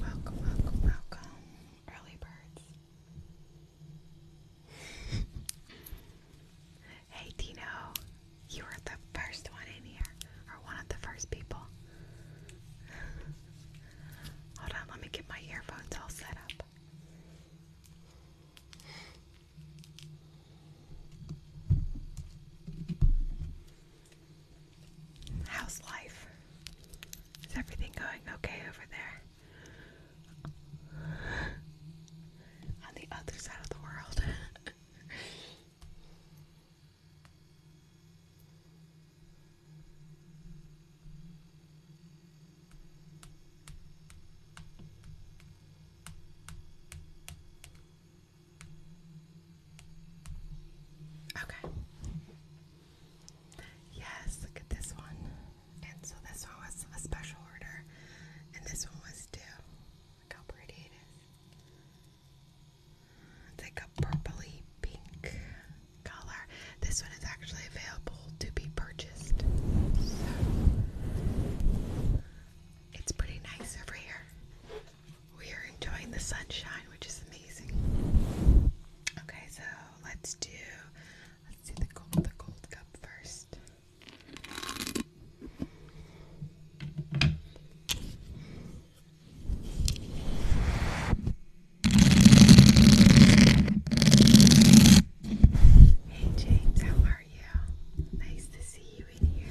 Welcome, welcome, welcome, early birds. hey, Dino, you were the first one in here, or one of the first people. Hold on, let me get my earphones all set up. How's life? Is everything going okay over there? On the other side of the world. Okay. Yes, look at this one. And so this one was a special order, and this one was too. Look how pretty it is. It's like a purpley pink color. This one is actually available to be purchased. So it's pretty nice over here. We are enjoying the sunshine, which is amazing. Okay, so let's do the gold the gold cup first. Hey James, how are you? Nice to see you in here.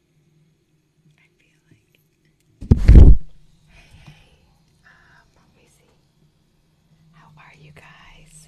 Hey, hey. Um, let How are you guys?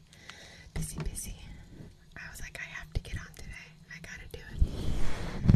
busy, busy. I was like, I have to get on today. I gotta do it.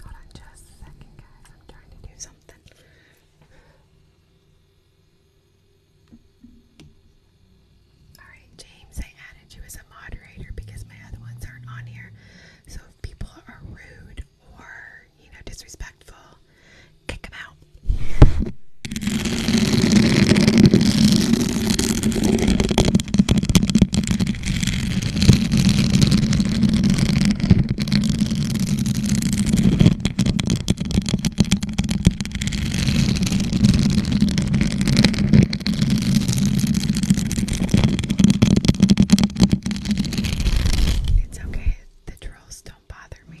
Hold on just a second, guys. I'm trying to do something. All right, James, I added she was a moderator because my other ones aren't on here. So if people are rude or, you know, disrespectful, kick them out. It's okay, the trolls don't bother me.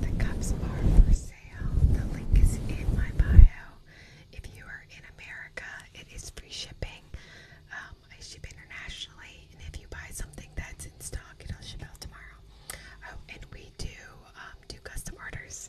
The cups are for sale. The link is in my bio. If you are in America, it is free shipping. Um, I ship internationally, and if you buy something that's in stock, it'll ship out tomorrow. Oh, and we do um, do custom orders.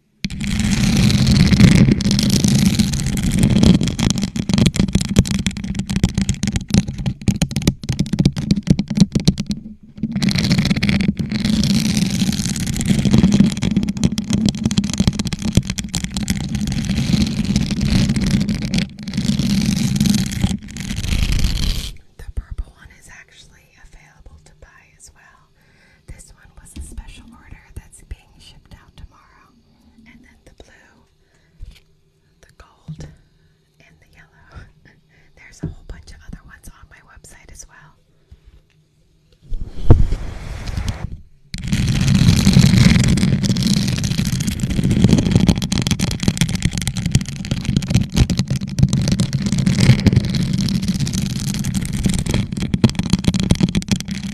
The purple one is actually available to buy as well. This one was a special order that's being shipped out tomorrow. And then the blue, the gold, and the yellow. There's a whole bunch of other ones on my website as well.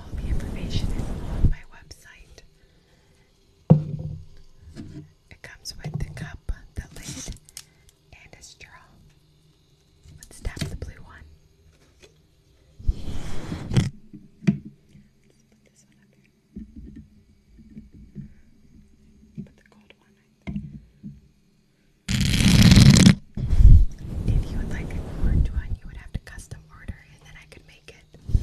all the information is on my website. It comes with the cup, the lid, and a straw. Let's tap the blue one. put the gold one if you would like a orange one, you would have to custom order and then I could make it.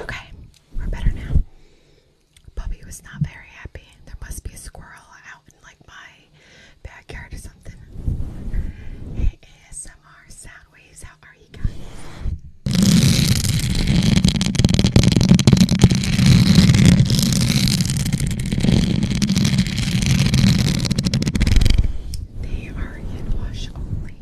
Okay, we're better now. Bubby was not very happy. There must be a squirrel out in like my backyard or something. ASMR sound. Soundwaves, how are you guys? They are in wash only.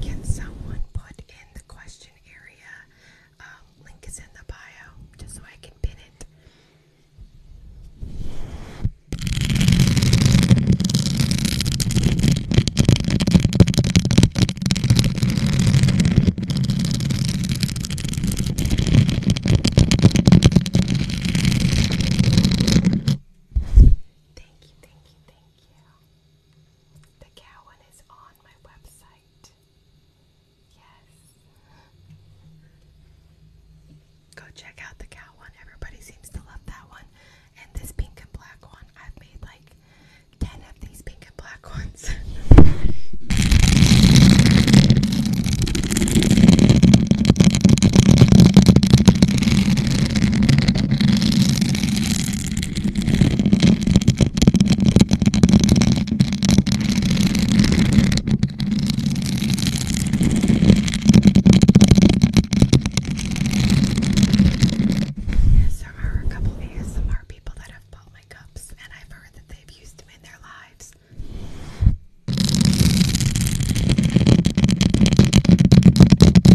Can someone put in the question area? Um, link is in the bio, just so I can pin it. Thank you, thank you, thank you. The cow one is on my website. Yes. Go check out the cow one. Everybody seems to love that one. And this pink and black one. I've made like 10 of these pink and black ones. Yes, there are a couple ASMR people that have bought my cups, and I've heard that they've used them in their lives.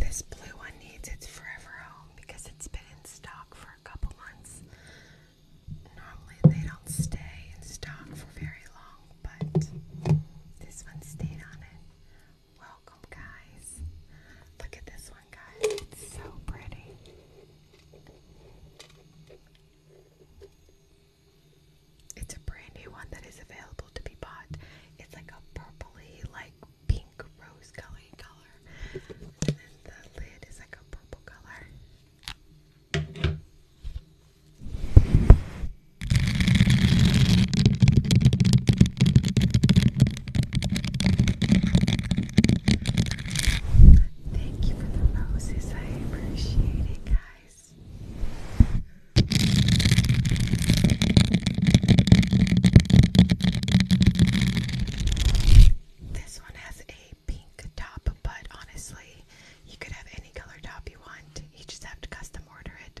This blue one needs its forever home because it's been in stock for a couple months. Normally they don't stay in stock for very long, but this one stayed on it. Welcome, guys. Look at this one, guys. It's so pretty. It's a brand new one that is available to be bought. It's like a purpley, like pink rose colored color. And then the lid is like a purple color. Thank you for the roses. I appreciate it, guys. This one has a pink top, but honestly, you could have any color top you want. You just have to custom order it.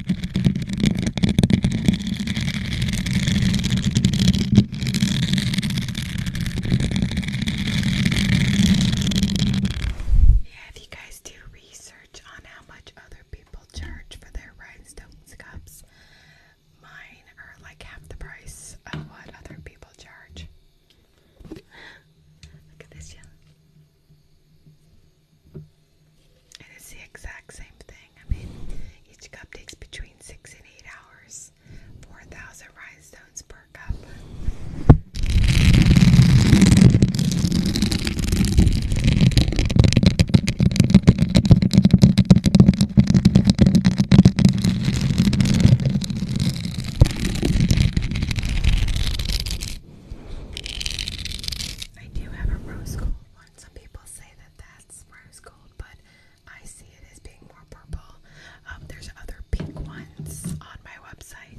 Yeah, if you guys do research on how much other people charge for their rhinestones cups, mine are like half the price of what other people charge. Look at this, yeah. And it's the exact same thing. I mean, each cup takes between six and eight hours. 4,000 rhinestones per cup. I do have a rose gold one. Some people say that that's rose gold, but I see it as being more purple. Um, there's other pink ones on my website.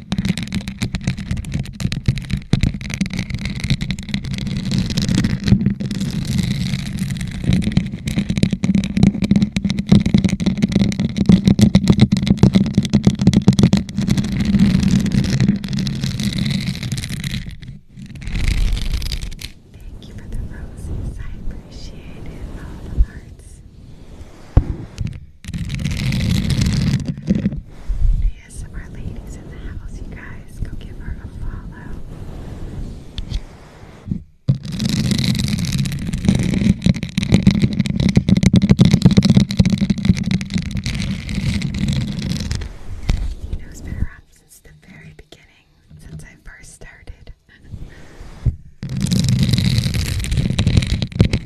Thank you for the roses. I appreciate it. All the hearts. Yes, ladies in the house, you guys. Go give her a follow. You know, it since the very beginning, since I first started.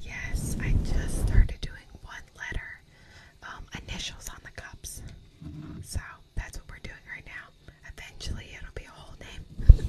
Yes, I just started doing one letter um, initials on the cups. So that's what we're doing right now. Eventually, it'll be a whole name.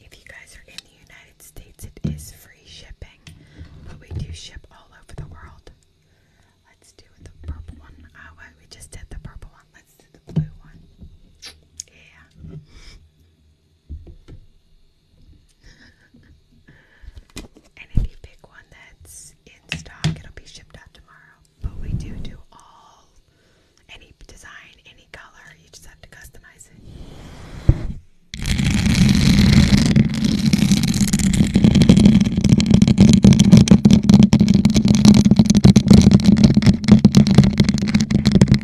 If you guys are in the United States, it is free shipping, but we do ship all over the world. Let's do the purple one. Oh, we just did the purple one. Let's do the blue one. Yeah and if you pick one that's in stock, it'll be shipped out tomorrow. But we do do all, any design, any color, you just have to customize it.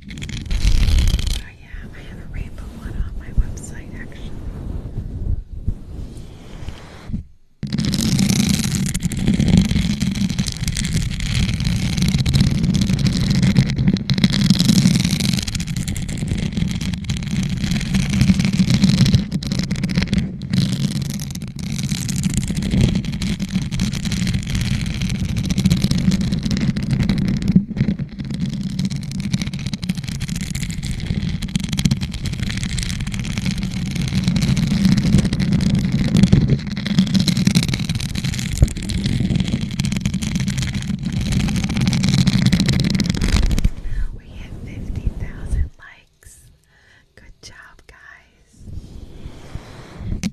Oh yeah, I have a rainbow one on my website actually. I we hit fifty thousand likes. Good job, guys.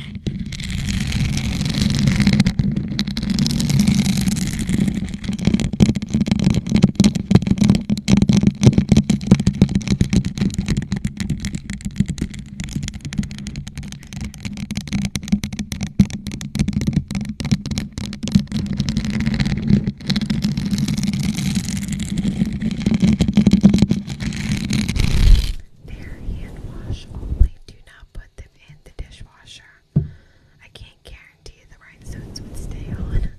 Bare hand wash only. Do not put the and the dishwasher. I can't guarantee the rhinestones would stay on.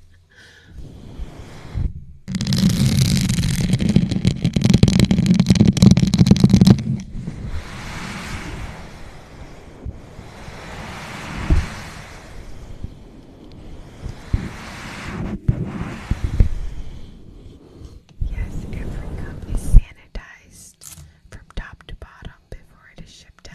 Yes, every cup is sanitized from top to bottom before it is shipped out.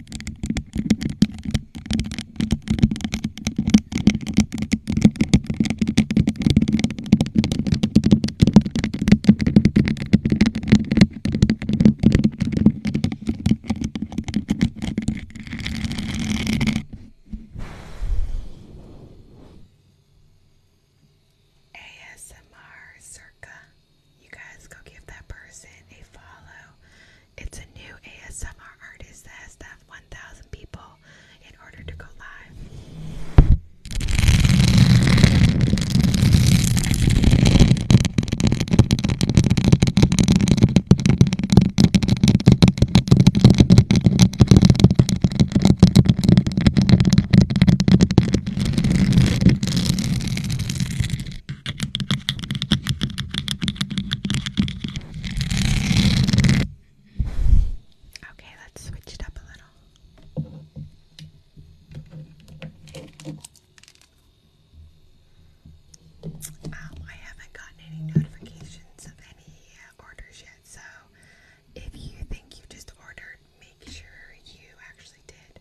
ASMR circa you guys go give that person a follow. It's a new ASMR artist that has to have 1,000 people in order to go live. Okay, let's switch it up a little. Um, I haven't gotten any notifications of any uh, orders yet, so if you think you just ordered, make sure you actually did.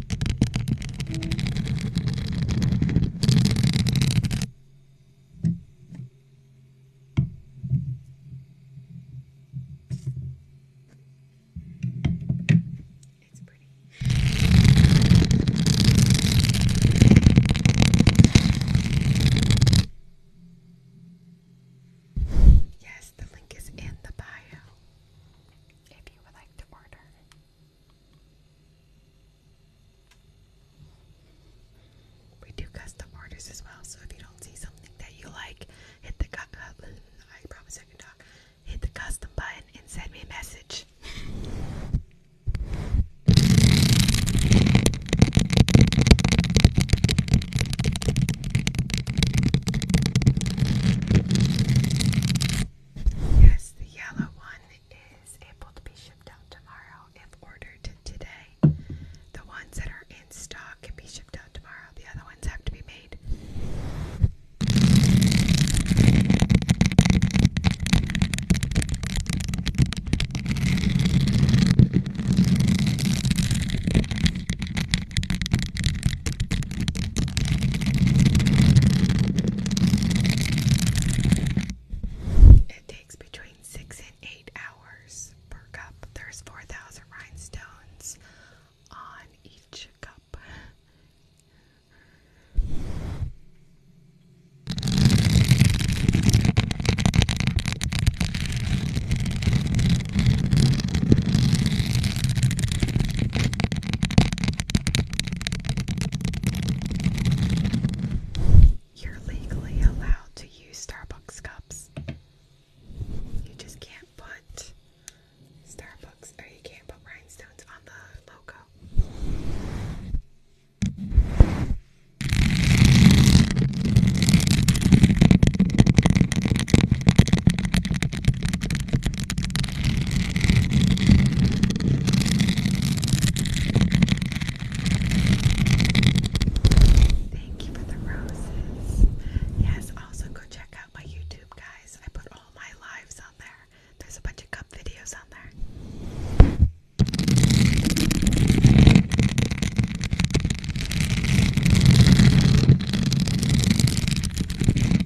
It's pretty. Yes, the link is in the bio if you would like to order. We do custom orders as well, so if you don't see something that you like, hit the uh, custom button and send me a message. Yes, the yellow one is able to be shipped out tomorrow if ordered today. The ones that are in stock can be shipped out tomorrow. The other ones have to be made. It takes between six and eight hours per cup. There's 4,000 rhinestones on each cup. You're legally allowed to use Starbucks cups. You just can't put Starbucks or you can't put rhinestones on the logo. Thank you for the roses. Yes, also go check out my YouTube, guys. I put all my lives on there. There's a bunch of cup videos on there.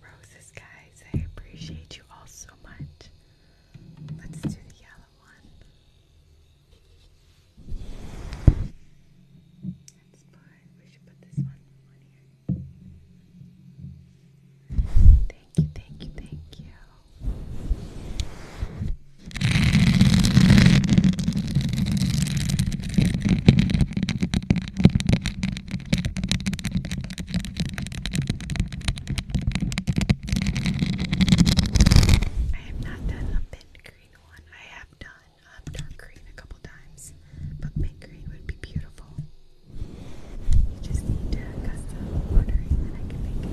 roses, guys. I appreciate you all so much. Let's do the yellow one. Thank you, thank you, thank you. I have not done a mint green one. I have done um, green a couple times, but mint green would be beautiful. You just need to custom order it, and I can make it.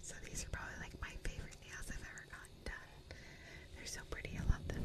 So these are probably like my favorite nails I've ever gotten done. They're so pretty, I love them.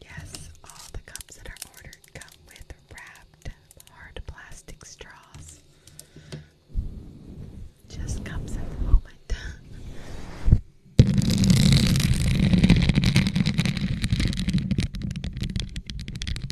Yes, all the cups that are ordered come with wrapped hard plastic straws. Just cups at the moment.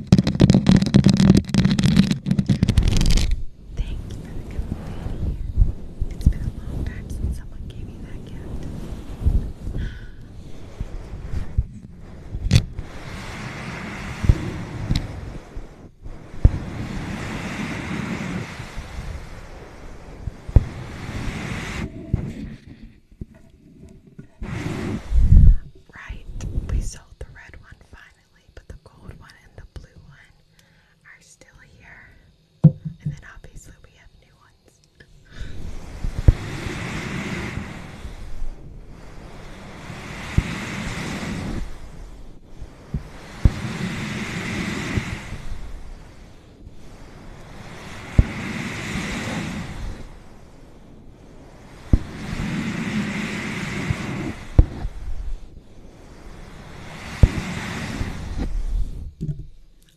Thank you for the company. It's been a long time since someone gave me that gift. Right, we sold the red one finally but the gold one and the blue one are still here. And then obviously we have new ones.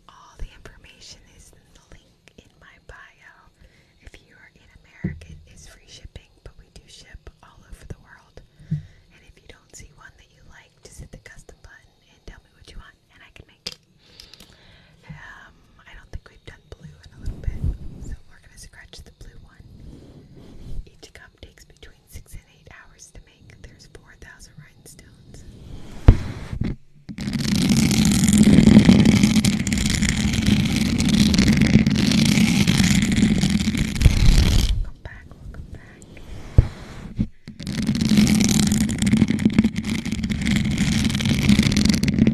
All the information is in the link in my bio. If you are in America, it's free shipping, but we do ship all over the world. And if you don't see one that you like, just hit the custom button and tell me what you want, and I can make it. Um, I don't think we we've done blue in a little bit, so we're going to scratch the blue one. Each cup takes between six and eight hours to make. There's 4,000 rhinestones. Welcome back, welcome back.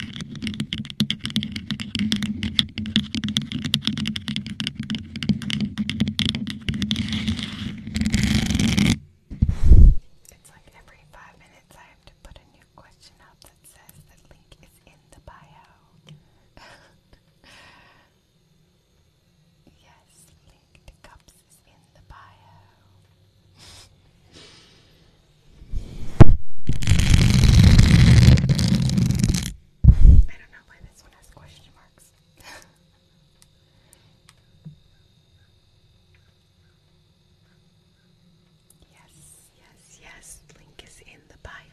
It's like every five minutes I have to put a new question up that says the link is in the bio. yes, link to cups is in the bio. I don't know why this one has question marks. yes, yes, yes. Link is in the bio.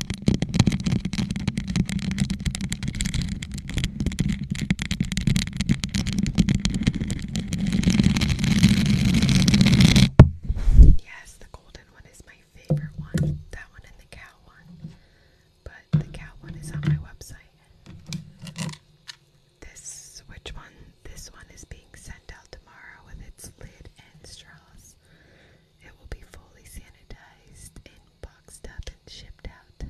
Yes, the golden one is my favorite one. That one and the cow one. But the cow one is on my website. This, which one? This one is being sent out tomorrow with its lid and straws. It will be fully sanitized and boxed up and shipped out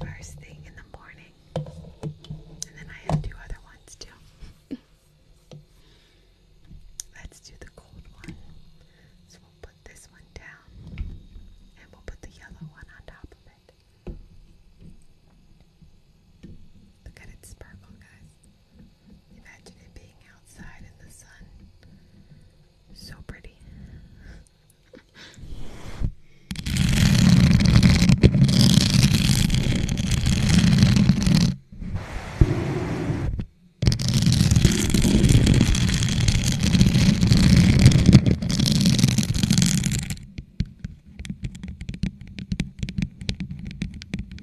first thing in the morning. And then I have two other ones too. Let's do the cold one. So we'll put this one down and we'll put the yellow one on top of it. Look at it sparkle, guys. Imagine it being outside in the sun. So pretty.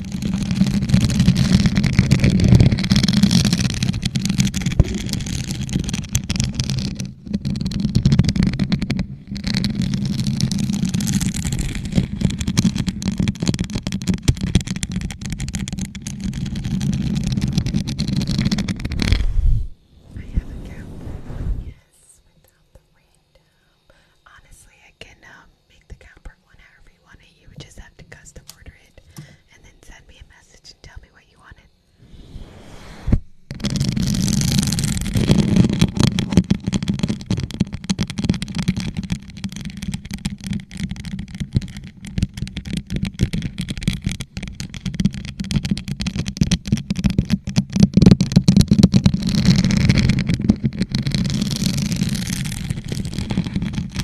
I haven't gotten that one, yes, without the rain down. Honestly, I cannot make the Calpert one you want it. You just have to custom order it and then send me a message and tell me what you wanted.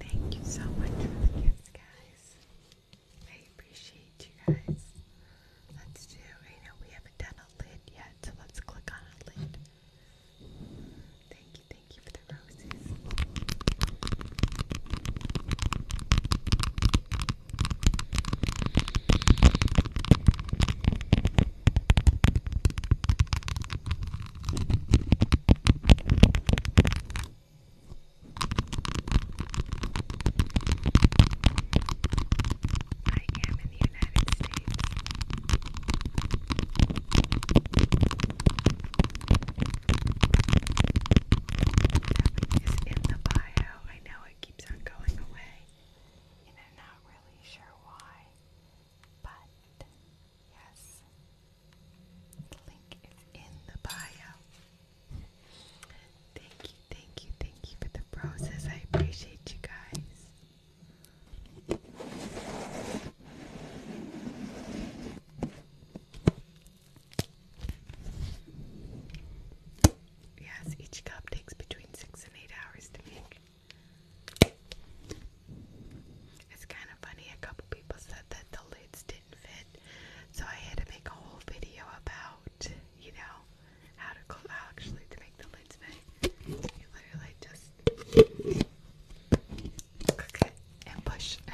Thank you so much for the gifts, guys. I appreciate you guys. Let's do, you know, we haven't done a lid yet, so let's click on a lid. Thank you, thank you for the roses. I am in in the bio. I know it keeps on going away, and i not really sure why, but yes, the link is in the bio. Thank you, thank you, thank you for the roses. I appreciate you guys. Yes, each cup takes between six and eight hours to make. It's kind of funny, a couple people said that the lids didn't fit, so I had to make a whole video about, you know, how to actually to make the lids fit. you literally just click it and push.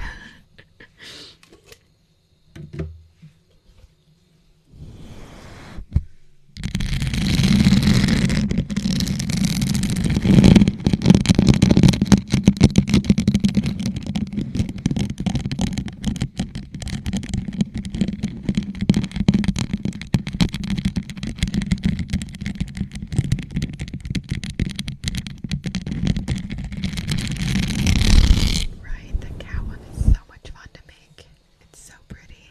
Right, the cat is so much fun to make. It's so pretty.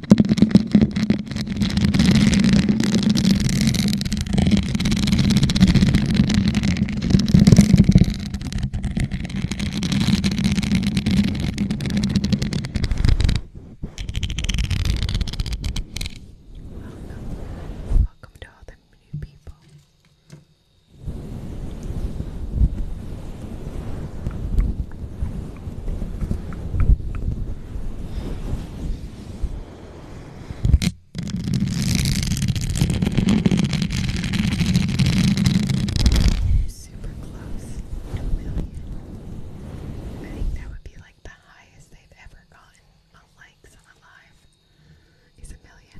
Welcome. Welcome to all the new people. Welcome Super close to a million. I think that would be like the highest they've ever gotten on likes on Alive is a million.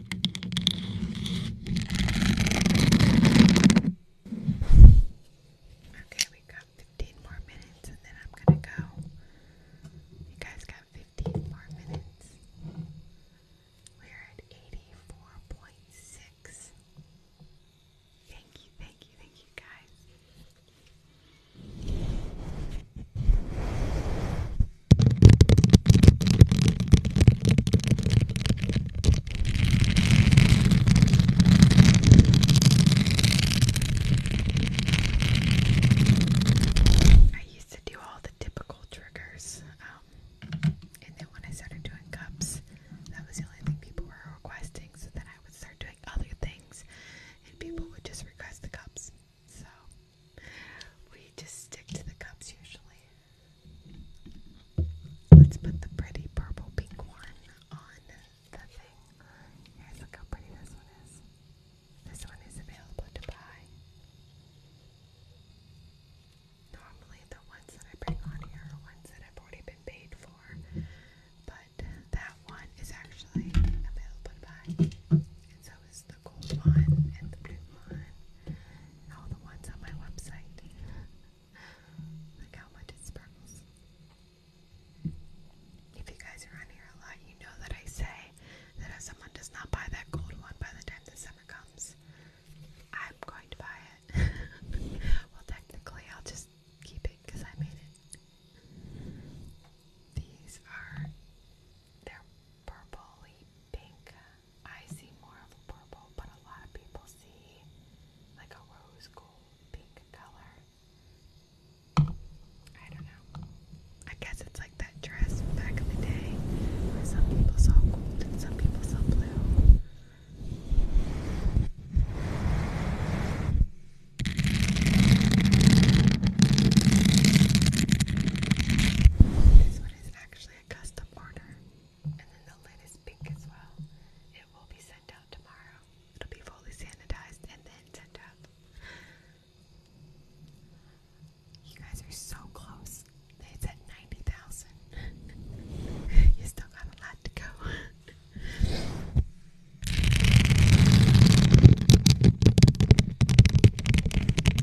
Okay, we got 15 more minutes and then I'm gonna go. You guys got 15 more minutes. We're at 84.6. Thank you, thank you, thank you guys. I used to do all the typical triggers, um, and then when I started doing cups, that was the only thing people were requesting. So then I would start doing other things, and people would just request the cups. So we just stick to the cups usually. Let's put the pretty purple pink one on the thing. look how pretty this one is. This one is available to buy. Normally, the ones that I bring on here are ones that I've already been paid for, but that one is actually available to buy. So the gold one and the blue one all the ones on my website. Look how much it sparkles. If you guys are on here a lot, you know that I say that if someone does not buy that gold one by the time the summer comes, I'm going to buy it. well, technically, I'll just keep it because I made it. These are, they're purpley pink. I see more of a purple, but a lot of people see like a rose gold pink color. I don't know. I guess it's like that dress back in the day where some people saw gold and some people saw blue. This one is actually custom order. And then the lid is pink as well. It will be sent out tomorrow. It'll be fully sanitized and then sent out. You guys are so close. It's at 90,000. you still got a lot to go.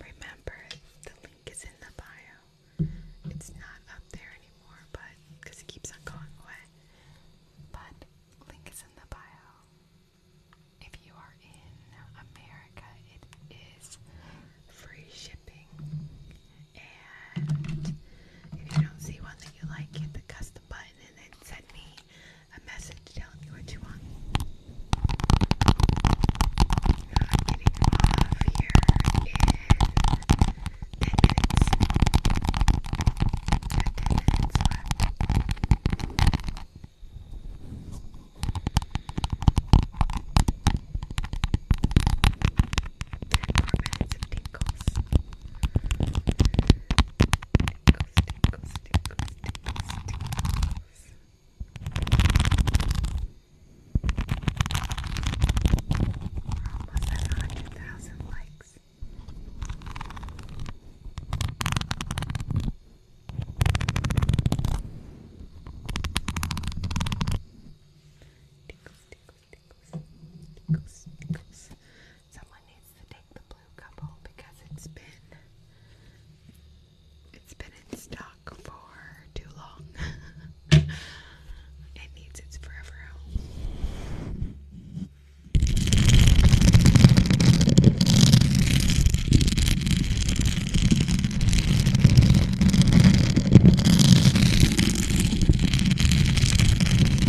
Remember, the link is in the bio. It's not up there anymore, but it keeps on going away. But link is in the bio. If you are in America, it is free shipping. And if you don't see one that you like, hit the custom button and then send me a message to tell what you want. I'm getting off here in 10 minutes. I have 10 minutes left. And four minutes of tingles. Tinkles, tinkles, tinkles, tinkles, tinkles. We're almost at 100,000 likes. Tickles, tickles, tickles, tickles, tickles. Someone needs to take the blue couple because it's been it's been in stock for too long. it needs its forever home.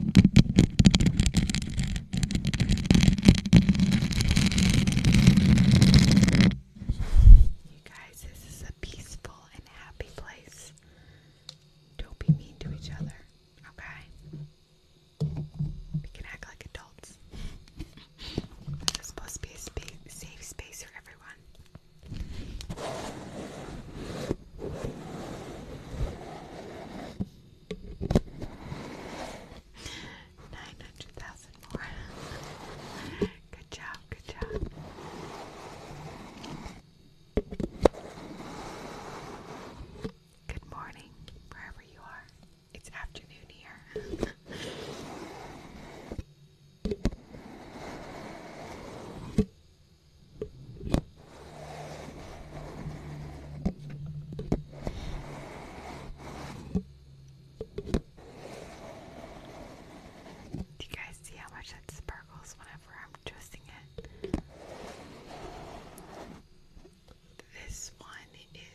You guys, this is a peaceful and happy place. Don't be mean to each other, okay? We can act like adults. This is supposed to be a safe space for everyone. Nine hundred thousand more. good job, good job. Good morning, wherever you are. It's afternoon here. Do you guys see how much it sparkles whenever I'm twisting it? This one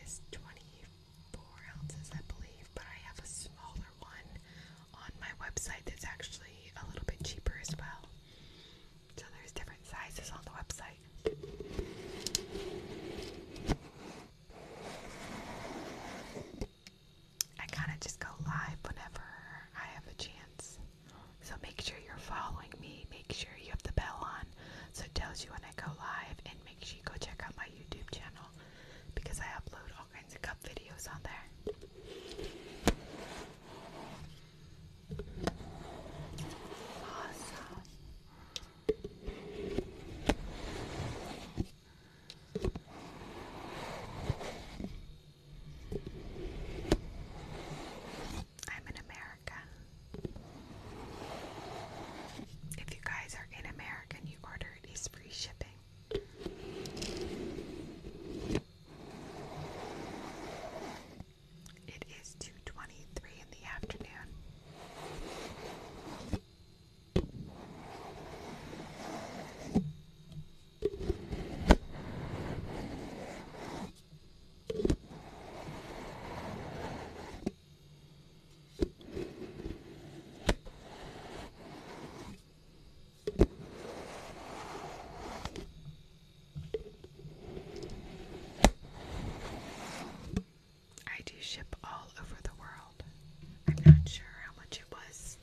is 24 ounces, I believe, but I have a smaller one on my website that's actually a little bit cheaper as well. So there's different sizes on the website. I kind of just go live whenever I have a chance. So make sure you're following me. Make sure you have the bell on so it tells you when I go live. And make sure you go check out my YouTube channel because I upload all kinds of cup videos on there. I'm in America. If you guys are in America and you order it, it's free shipping. It is 2:23 in the afternoon. I do ship all over the world. I'm not sure how much it was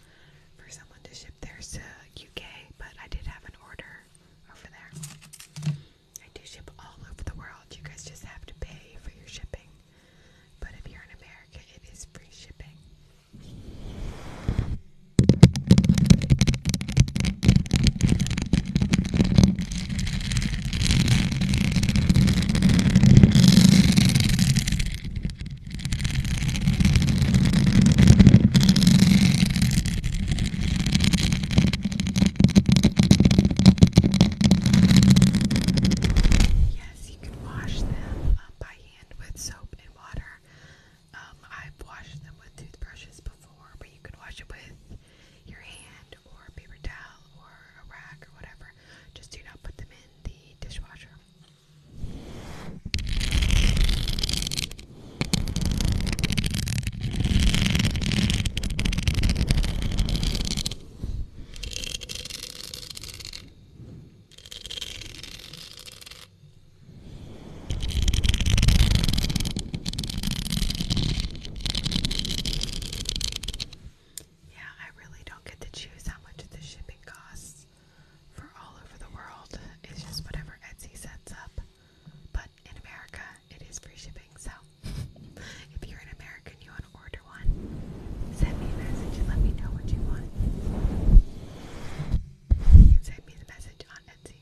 for someone to ship theirs to UK, but I did have an order over there. I do ship all over the world. You guys just have to pay for your shipping. But if you're in America, it is free shipping. Yes, you can wash them um, by hand with soap and water. Um, I've washed them with toothbrushes before, but you can wash it with your hand or a paper towel or a rag or whatever. Just do not put them in the dishwasher. Yeah, I really don't get to choose how much the shipping costs for all over the world. It's just whatever Etsy sets up. But in America, it is free shipping. So if you're an American, you want to order one, send me a message and let me know what you want. You can send me the message on Etsy.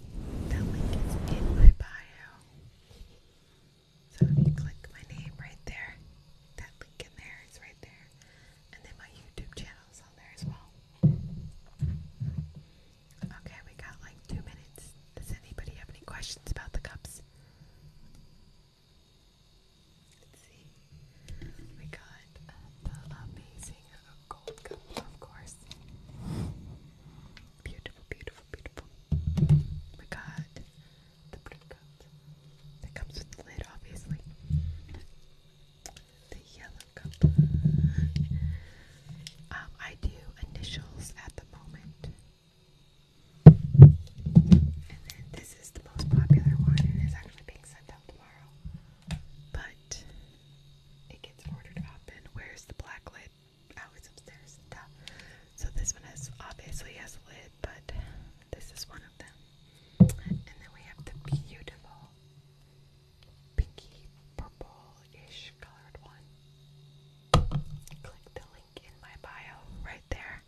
That link is in my bio. So if you click my name right there, that link in there is right there. And then my YouTube channel is on there as well. Okay, we got like two minutes. Does anybody have any questions about the cups? Let's see. We got uh, the amazing gold cup, of course. Beautiful, beautiful, beautiful. We oh got the blue cup that comes with the lid, obviously. The yellow cup. Um, I do initials at the moment. And then this is the most popular one and it's actually being sent out tomorrow. But it gets ordered up and where's the black lid? Oh, upstairs. So this one has obviously has a lid, but this is one of them. And then we have the beautiful pinky purple-ish colored one. Click the link in my bio right there.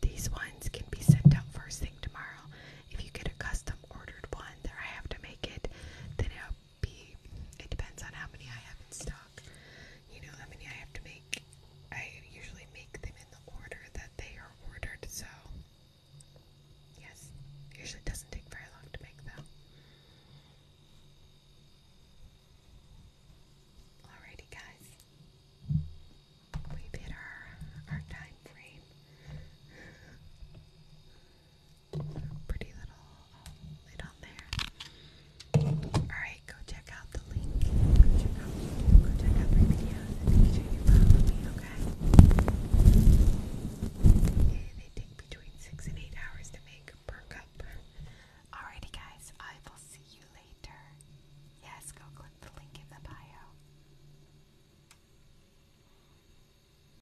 These ones can be sent out first thing tomorrow. If you get a custom ordered one that I have to make it, then it'll it depends on how many I have in stock. You know how many I have to make. I usually make them in the order that they are ordered, so yes, usually doesn't take very long to make them. Alrighty, guys, we hit our, our time frame. pretty little um, lid on there. Alright, go check out the link. Go check out, go check make sure you follow me, okay? Yeah, they take between 6 and 8 hours to make per cup. Alrighty, guys, I will see you later. Yes, go click the link in the bio.